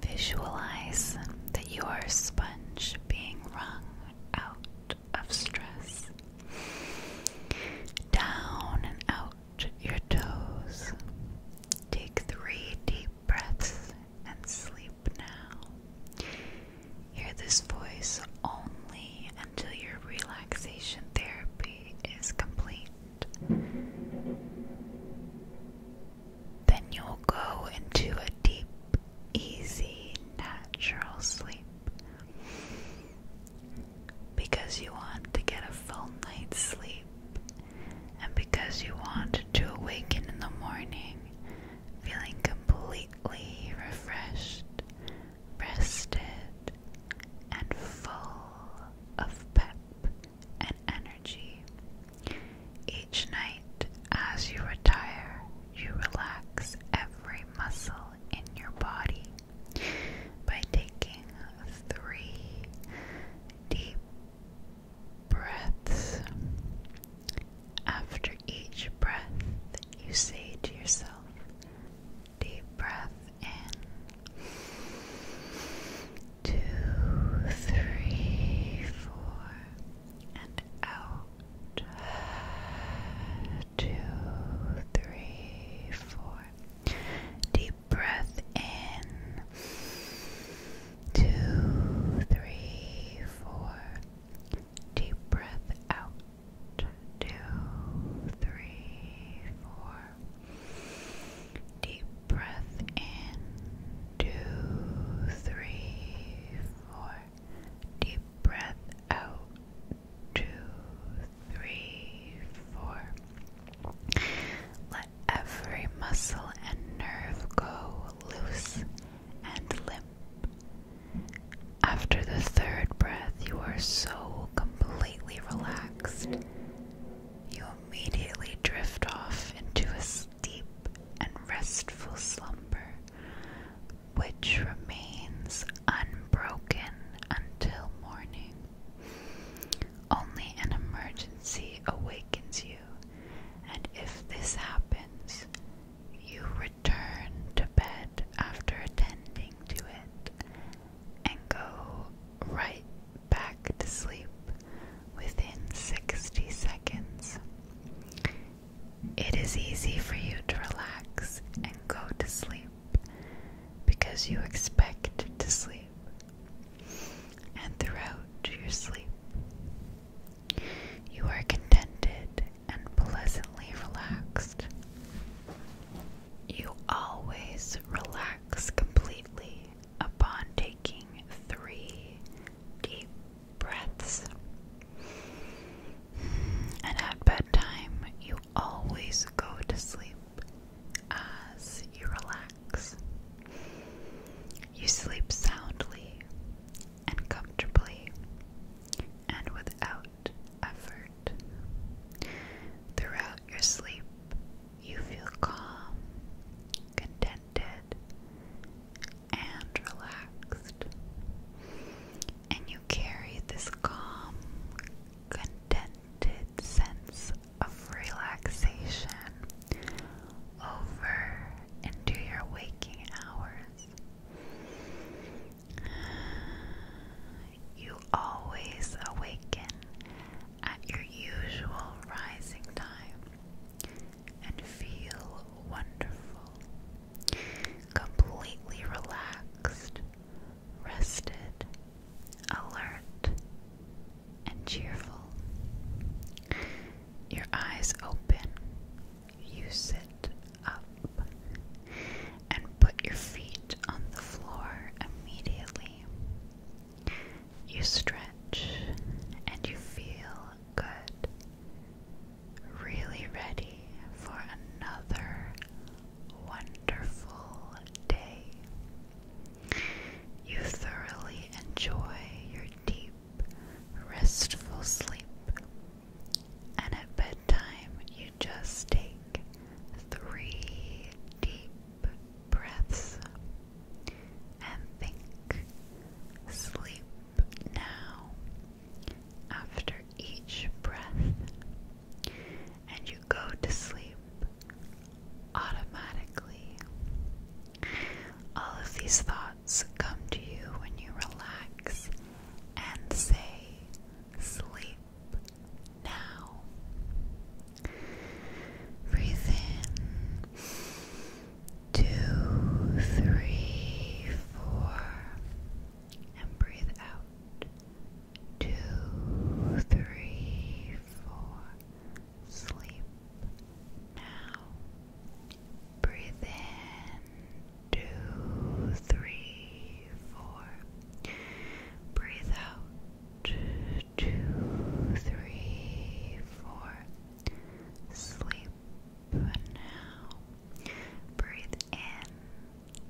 Visualize that you are sponge being wrung out of stress. Down and out your toes. Take three deep breaths and sleep now. Hear this voice only until your relaxation therapy is complete. Then you'll go into a deep, easy, natural sleep because you want to get a full night's sleep and because you want to awaken in the morning feeling completely refreshed, rested, and full of pep and energy. Each night, as you retire, you relax every muscle in your body by taking three deep breaths. After each breath, you say to yourself, Deep breath in two, three, four, and out. Two, three, four. Deep breath in. Two, three, four. Deep breath out. Two, three, four. Deep breath in two, three, four. Deep breath out two, three, four. Let every muscle and nerve go loose and limp. After the third breath, you are so completely relaxed. You immediately drift off into a deep and restful slumber, which remains unbroken until morning. Only an emergency awakens you, and if this happens, you return to bed after attending to it and go right back to sleep within 60 seconds. It is easy for you to relax and go to sleep because you expect to sleep. And throughout your sleep, you are contented and pleasantly relaxed. You always relax completely upon taking three deep breaths. And at bedtime, you always go to sleep as you relax. You sleep soundly and comfortably and without effort. Throughout your sleep, you feel calm contented, and relaxed. And you carry this calm, contented sense of relaxation over into your waking hours. You always awaken at your usual rising time, and feel wonderful, completely relaxed, rested, alert, and cheerful. Your eyes open, you sit up, and put your feet on the floor immediately. You stretch and you feel good. Really ready for another wonderful day. You thoroughly enjoy your deep, restful sleep. And at bedtime, you just take three deep breaths and think. Sleep now after each breath, and you go to sleep automatically. All of these thoughts come to you when you relax and say, Sleep now. Breathe in two, three, four, and breathe out. Two, three, four, sleep now. Breathe in, two, three, four, breathe out. Two, three, four. Sleep now. Breathe in.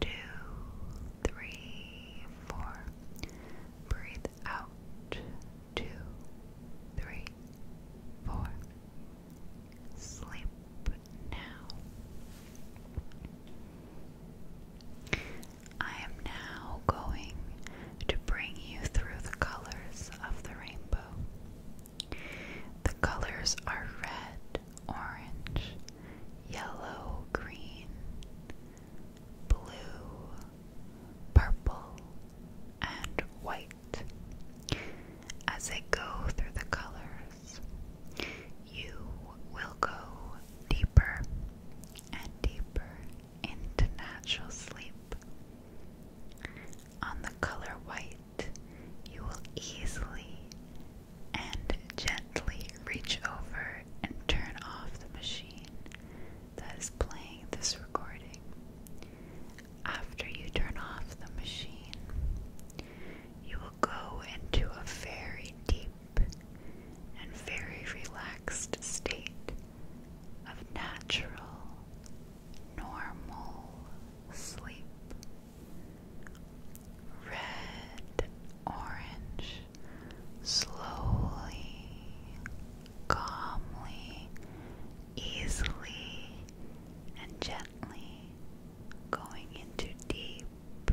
Two, three, four. Breathe out. Two, three, four. Sleep now. I am now going to bring you through the colors of the rainbow. The colors are red, orange, yellow, green, blue, purple, and white. As I go through the colors, you will go deeper and deeper into natural sleep on the color white, you will easily and gently reach over and turn off the machine that is playing this recording. After you turn off the machine, you will go into a very deep and very relaxed state of natural normal sleep. Red, orange, slowly, calmly, easily, and gently going into deep,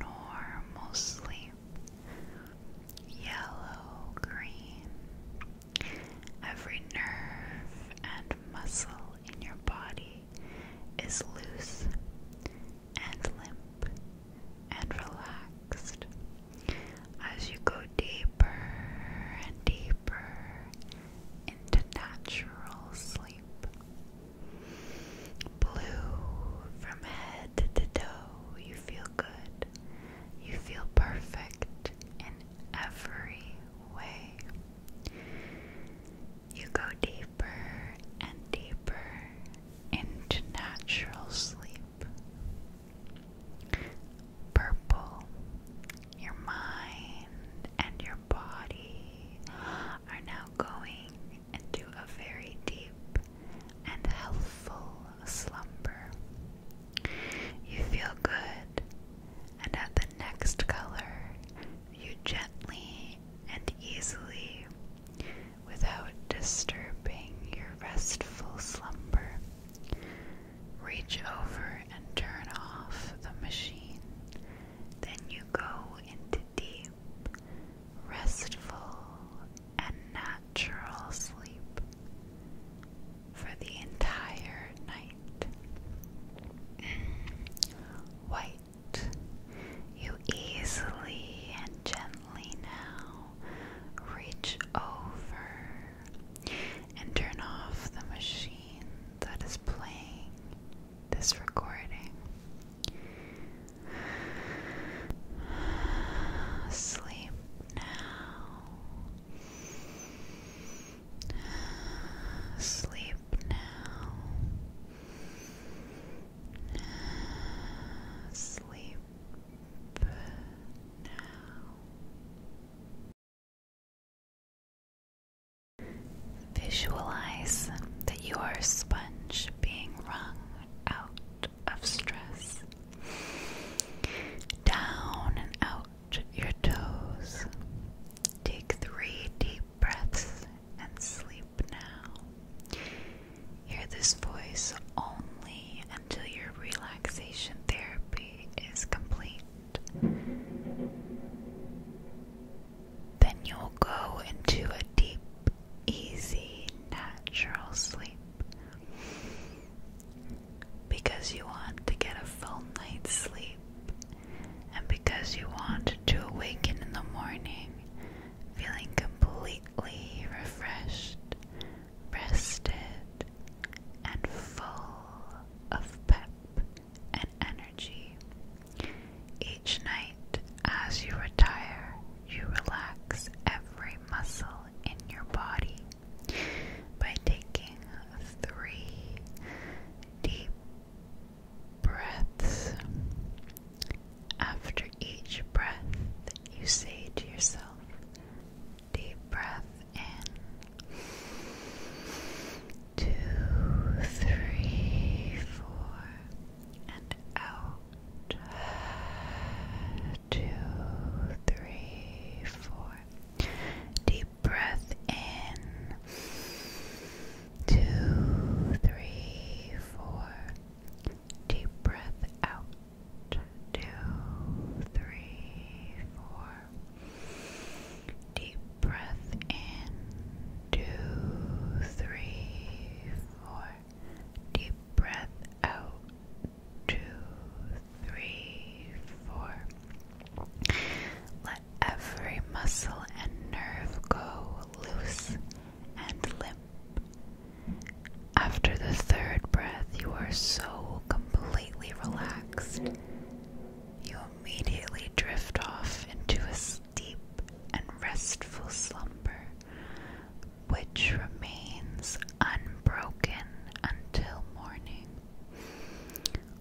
normal sleep. Yellow, green, Every nerve and muscle in your body is loose and limp and relaxed as you go deeper and deeper into natural sleep. Blue from head to toe, you feel good you feel perfect in every way. You go deeper and deeper into natural sleep. Purple, your mind and your body are now going into a very deep and healthful slumber. You feel good, and at the next color, you gently and easily, without disturbing your restful slumber, reach over and turn off the machine. Then you go into deep, restful, and natural sleep for the entire night. White, you easily and gently now reach over and turn off the machine that is playing this recording. Sleep now. Sleep now. Sleep now. Visualize that you are a sponge being wrung out of stress. Down and out your toes. Take three deep breaths and sleep now. Hear this voice only until your relaxation therapy is complete. Then you'll go into a deep, easy, natural sleep because you want to get a full night's sleep, and because you want to awaken in the morning feeling completely refreshed, rested, and full of pep and energy. Each night, as you retire, you relax every muscle in your body by taking three deep breaths. After each breath, you say to yourself, deep breath in. Two, three, four, and out. Two, three, four. Deep deep breath in. Two, three, four. Deep breath out. Two, three, four. Deep breath in. Two, three, four. Deep breath out two, three, four. Let every muscle and nerve go loose and limp. After the third breath, you are so completely relaxed. You immediately drift off into a deep and restful slumber, which remains unbroken until morning.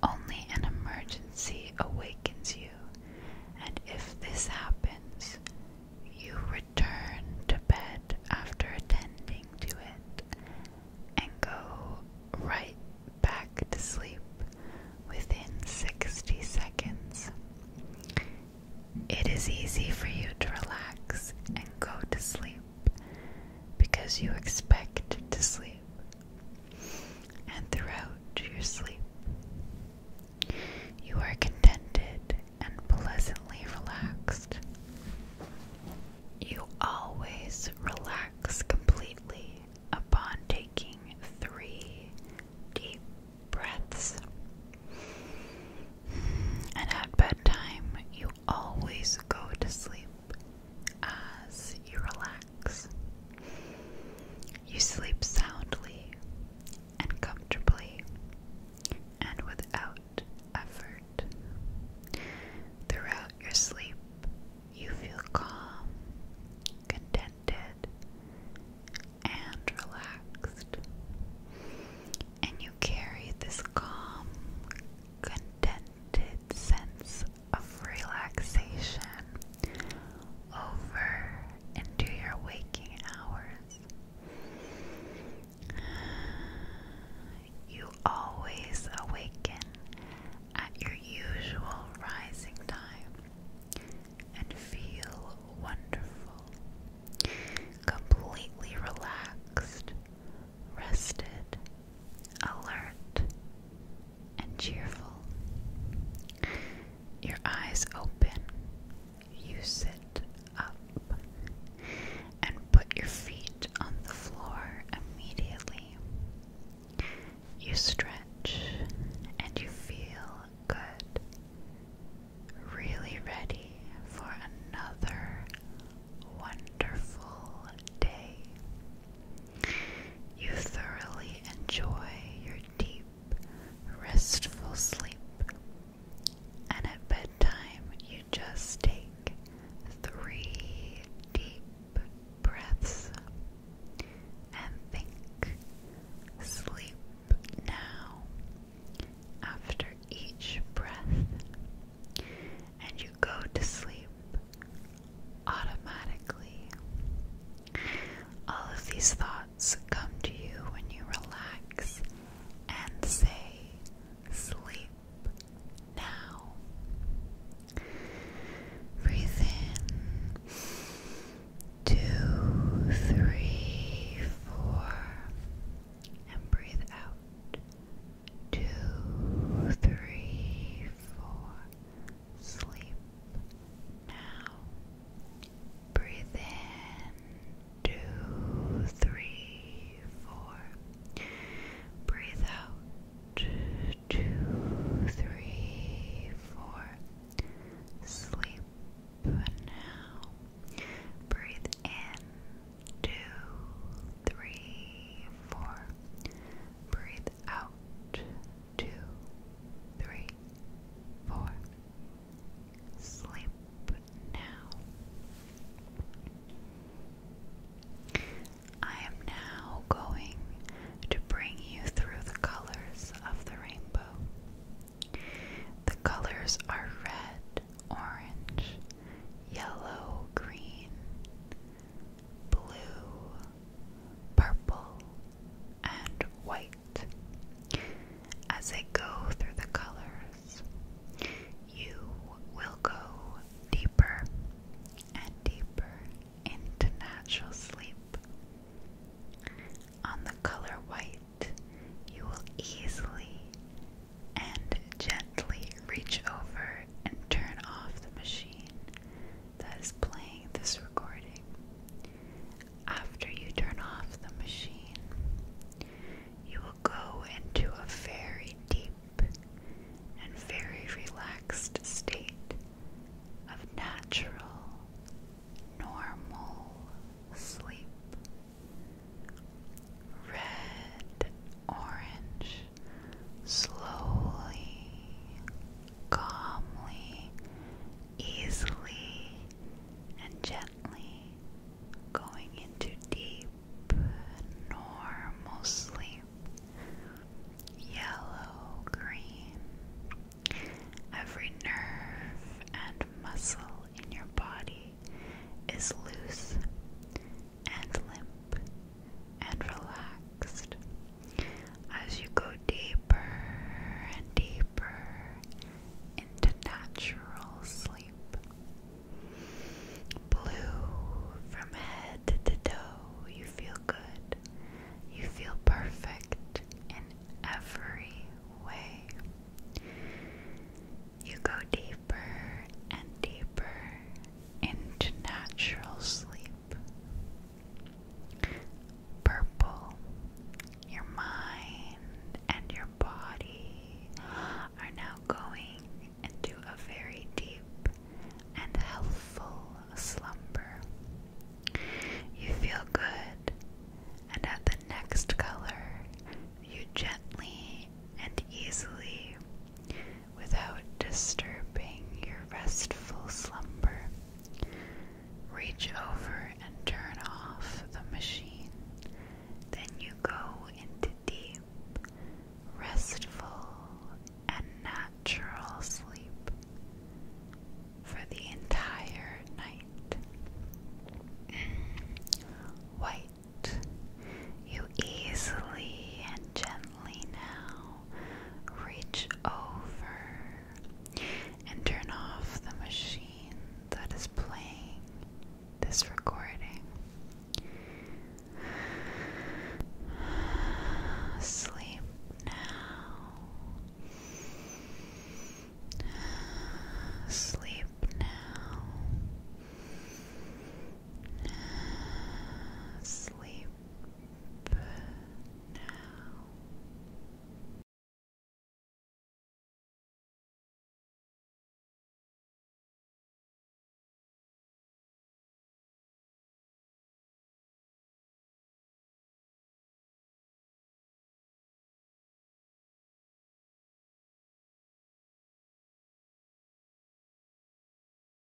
Only an emergency awakens you, and if this happens, you return to bed after attending to it and go right back to sleep within 60 seconds. It is easy for you to relax and go to sleep because you expect to sleep and throughout your sleep you are contented and pleasantly relaxed. You always relax completely upon taking three deep breaths. And at bedtime, you always go to sleep as you relax. You sleep soundly and comfortably and without effort. Throughout your sleep, you feel calm, contented, and relaxed. And you carry this calm, contented, sense of relaxation over into your waking hours. You always awaken at your usual rising time and feel wonderful, completely relaxed, rested, alert, and cheerful. Your eyes open, you sit up, and put your feet on the floor immediately. You stretch and you feel good, really ready for another wonderful day. You thoroughly enjoy your deep, restful sleep, and at bedtime, you just take three deep breaths and think, sleep now. After each breath, and you go to sleep automatically. All of these thoughts come to you when you relax and say, Sleep now. Breathe in two, three, four, and breathe out. Two, three, four. Sleep now. Breathe in. Two, three, four. Breathe out. Two, three, four. Sleep now. Breathe in. Two, three, four. Breathe out. Two, three, four. Sleep now. I am now going to bring you through the colors of the rainbow. The colors are red, orange, yellow, green, blue, purple, and white. As I go through the colors, you will go deeper and deeper into natural sleep. On the color white, you will easily and gently reach over and turn off the machine that is playing this recording. After you turn off the machine, you will go into a very deep and very relaxed state of natural, normal sleep. Red, orange, slowly, calmly, easily, and gently going into deep, normal sleep. Yellow green. Every nerve and muscle in your body is loose and limp and relaxed as you go deeper and deeper into natural sleep. Blue from head to toe, you feel good. You feel perfect in every way. You go deeper and deeper into natural sleep. Purple, your mind and your body are now going into a very deep and healthful slumber. You feel good, and at the next color, you gently and easily without disturbing your restful slumber. Reach over and turn off the machine. Then you go into deep, restful, and natural sleep for the entire night. White, you easily and gently now reach over and turn off the machine that is playing this recording. Sleep now. Sleep now. Sleep now.